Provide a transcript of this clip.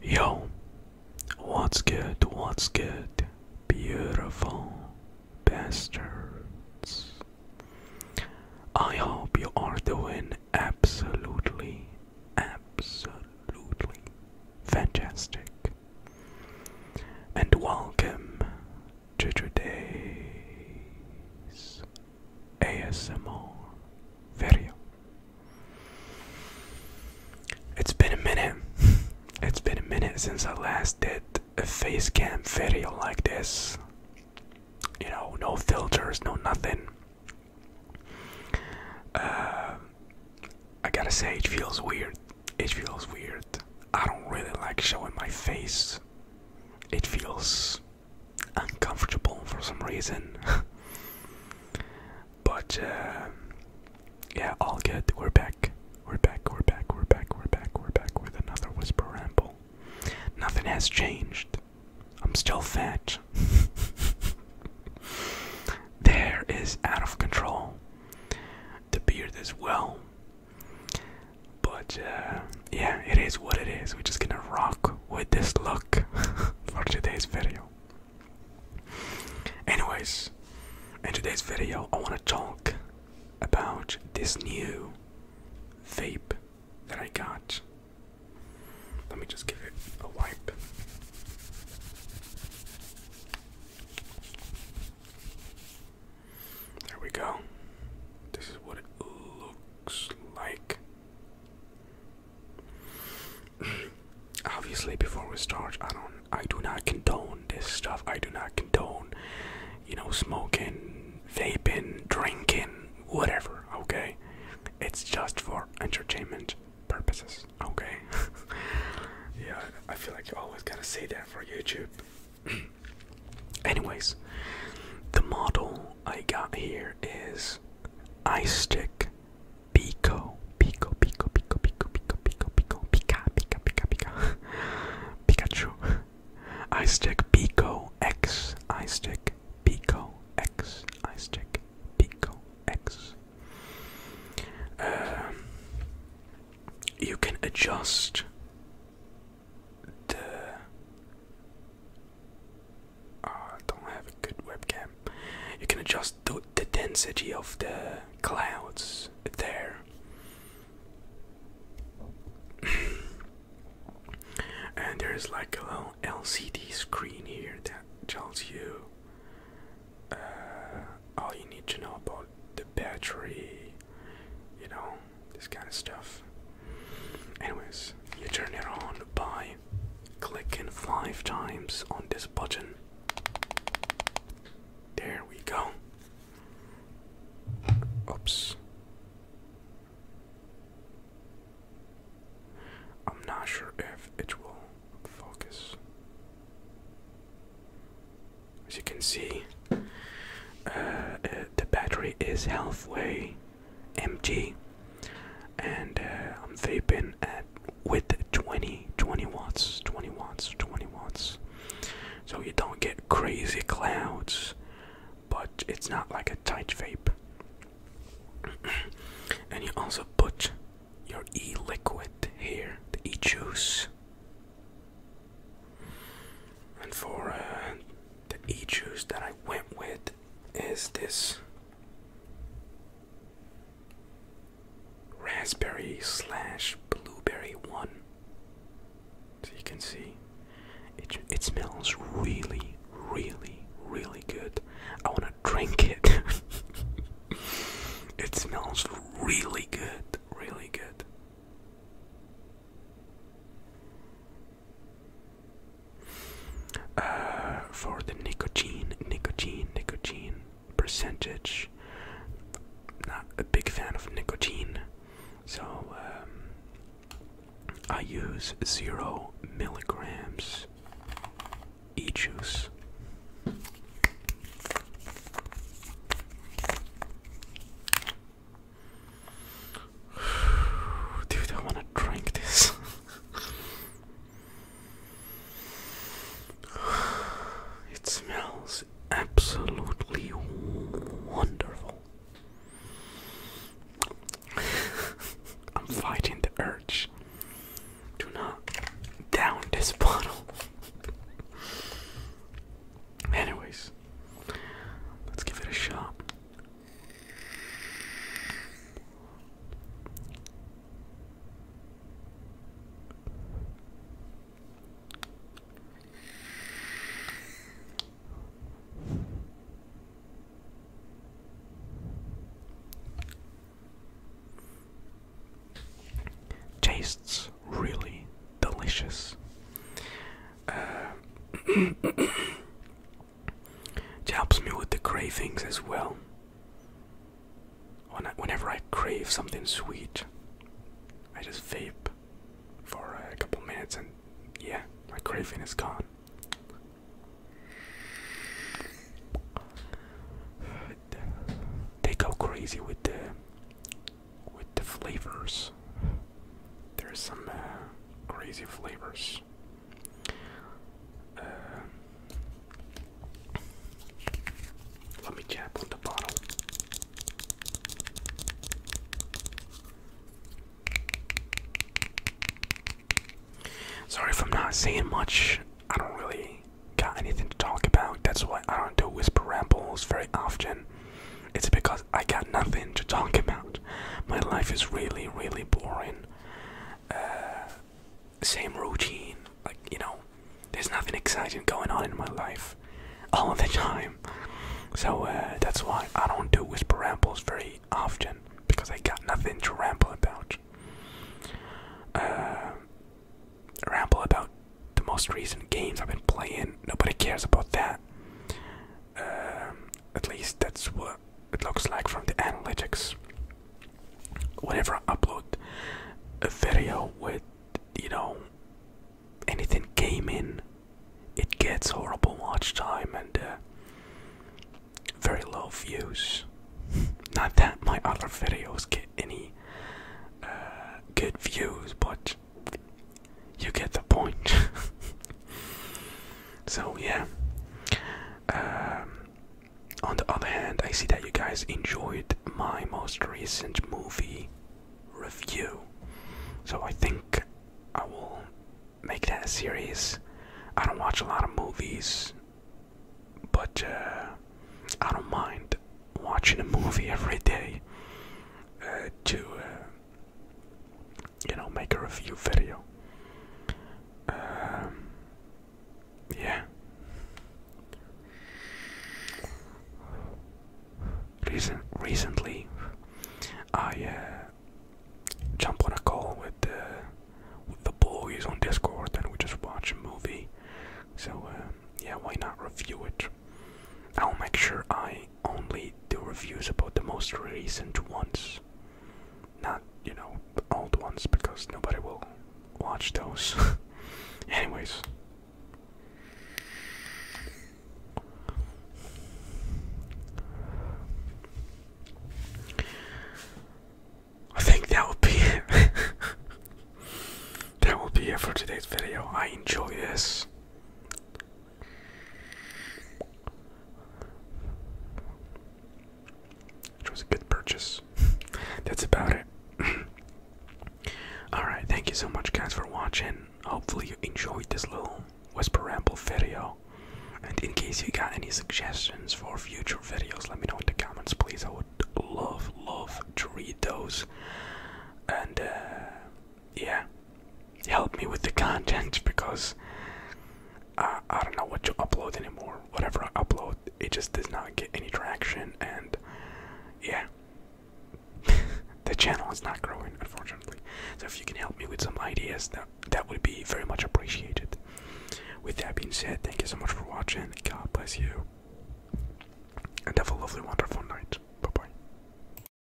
Yo, what's good? What's good? Beautiful bastards. I hope you are doing absolutely, absolutely fantastic. And welcome to today's ASMR video. It's been a minute. It's been a minute since I last did a face cam video like this. You know, no filters, no nothing. Uh, I gotta say, it feels weird. It feels weird. I don't really like showing my face. It feels uncomfortable for some reason. but uh, yeah, all good. We're back. We're back. We're back. We're back. We're back. We're back with another whisper ramble. Nothing has changed. I'm still fat. there is out of control. The beard as well. But uh, yeah, it is what it is. We're just gonna rock with this look for today's video. Anyways, in today's video, I want to talk about this new vape that I got. Let me just give it a wipe. There we go. This is what it looks like. Obviously, before we start, I don't, I do not condone this stuff. I do not condone, you know, smoking, vaping, drinking, whatever. Okay, it's just for entertainment purposes. Okay. yeah, I feel like you are always going to say that for YouTube. Anyways, the model I got here is Ice Stick, Pico, Pico, Pico, Pico, Pico, Pico, Pico, Pico, Pika, Pika, Pika, Pika, Pikachu, Ice Stick, Pico, X, Ice Stick, Pico, X, Ice Stick, Pico, X. Uh, you can adjust the uh, don't have a good webcam. You can adjust the, the density of the clouds there. and there's like a little LCD screen here that tells you uh, all you need to know about the battery, you know, this kind of stuff. Anyways, you turn it on by clicking five times on this button. There we go. Oops. I'm not sure if it will focus. As you can see, uh, uh, the battery is halfway mg and uh, i'm vaping at with 20 20 watts 20 watts 20 watts so you don't get crazy clouds but it's not like a tight vape and you also put your e-liquid here the e-juice and for uh, the e juice that I went with is this raspberry slash blueberry one. So you can see it, it smells really, really, really good. I want to drink it. it smells really good, really good. Uh, for the nicotine, nicotine, nicotine percentage. Not a big fan of nicotine, so um, I use zero milligrams e juice. Dude, I wanna drink this. it smells absolutely wonderful. I'm fighting the urge. Do not down this bottle. Anyways, let's give it a shot. Tastes really delicious. Uh, It helps me with the cravings as well. Whenever I crave something sweet, I just vape for a couple minutes and yeah, my craving is gone. They go crazy with the with the flavors there's some uh, crazy flavors. Uh, let me tap on the bottle. Sorry if I'm not saying much. I don't really got anything to talk about. That's why I don't do whisper rambles very often. It's because I got nothing to talk about. My life is really, really boring. Uh, same routine, like you know, there's nothing exciting going on in my life all the time. So uh, that's why I don't do whisper rambles very often because I got nothing to ramble about. Uh, ramble about the most recent games I've been playing. Nobody cares about that. Um, at least that's what it looks like from the analytics. Whenever I upload a video with, you know, anything gaming, it gets horrible watch time and uh, very low views. Not that my other videos get any uh, good views, but you get the point. so yeah. Um, on the other hand, I see that you guys enjoyed my most recent movie review. So I think I will make that a series. I don't watch a lot of movies, but uh, I don't mind watching a movie every day uh, to uh, you know, make a review video. Um, yeah. Recent, recently, I uh, jump on a call with the uh, with the boys on Discord, and we just watch a movie. So uh, yeah, why not review it? I'll make sure I only do reviews about the most recent ones. Not, you know, old ones because nobody will watch those. Anyways. I think that will be it. that will be it for today's video. I enjoy this. Which was a good purchase. That's about it. Alright, thank you so much, guys, for watching. Hopefully, you enjoyed this little Whisper Ramble video. And in case you got any suggestions for future videos, let me know in the comments, please. I would love, love to read those. And uh, yeah, help me with the content because uh, I don't know what to upload anymore. Whatever I upload, it just does not get any traction, and yeah, the channel is not growing, unfortunately. So if you can help me with some ideas, that that would be very much appreciated. With that being said, thank you so much for watching. God bless you, and have a lovely, wonderful night. Bye bye.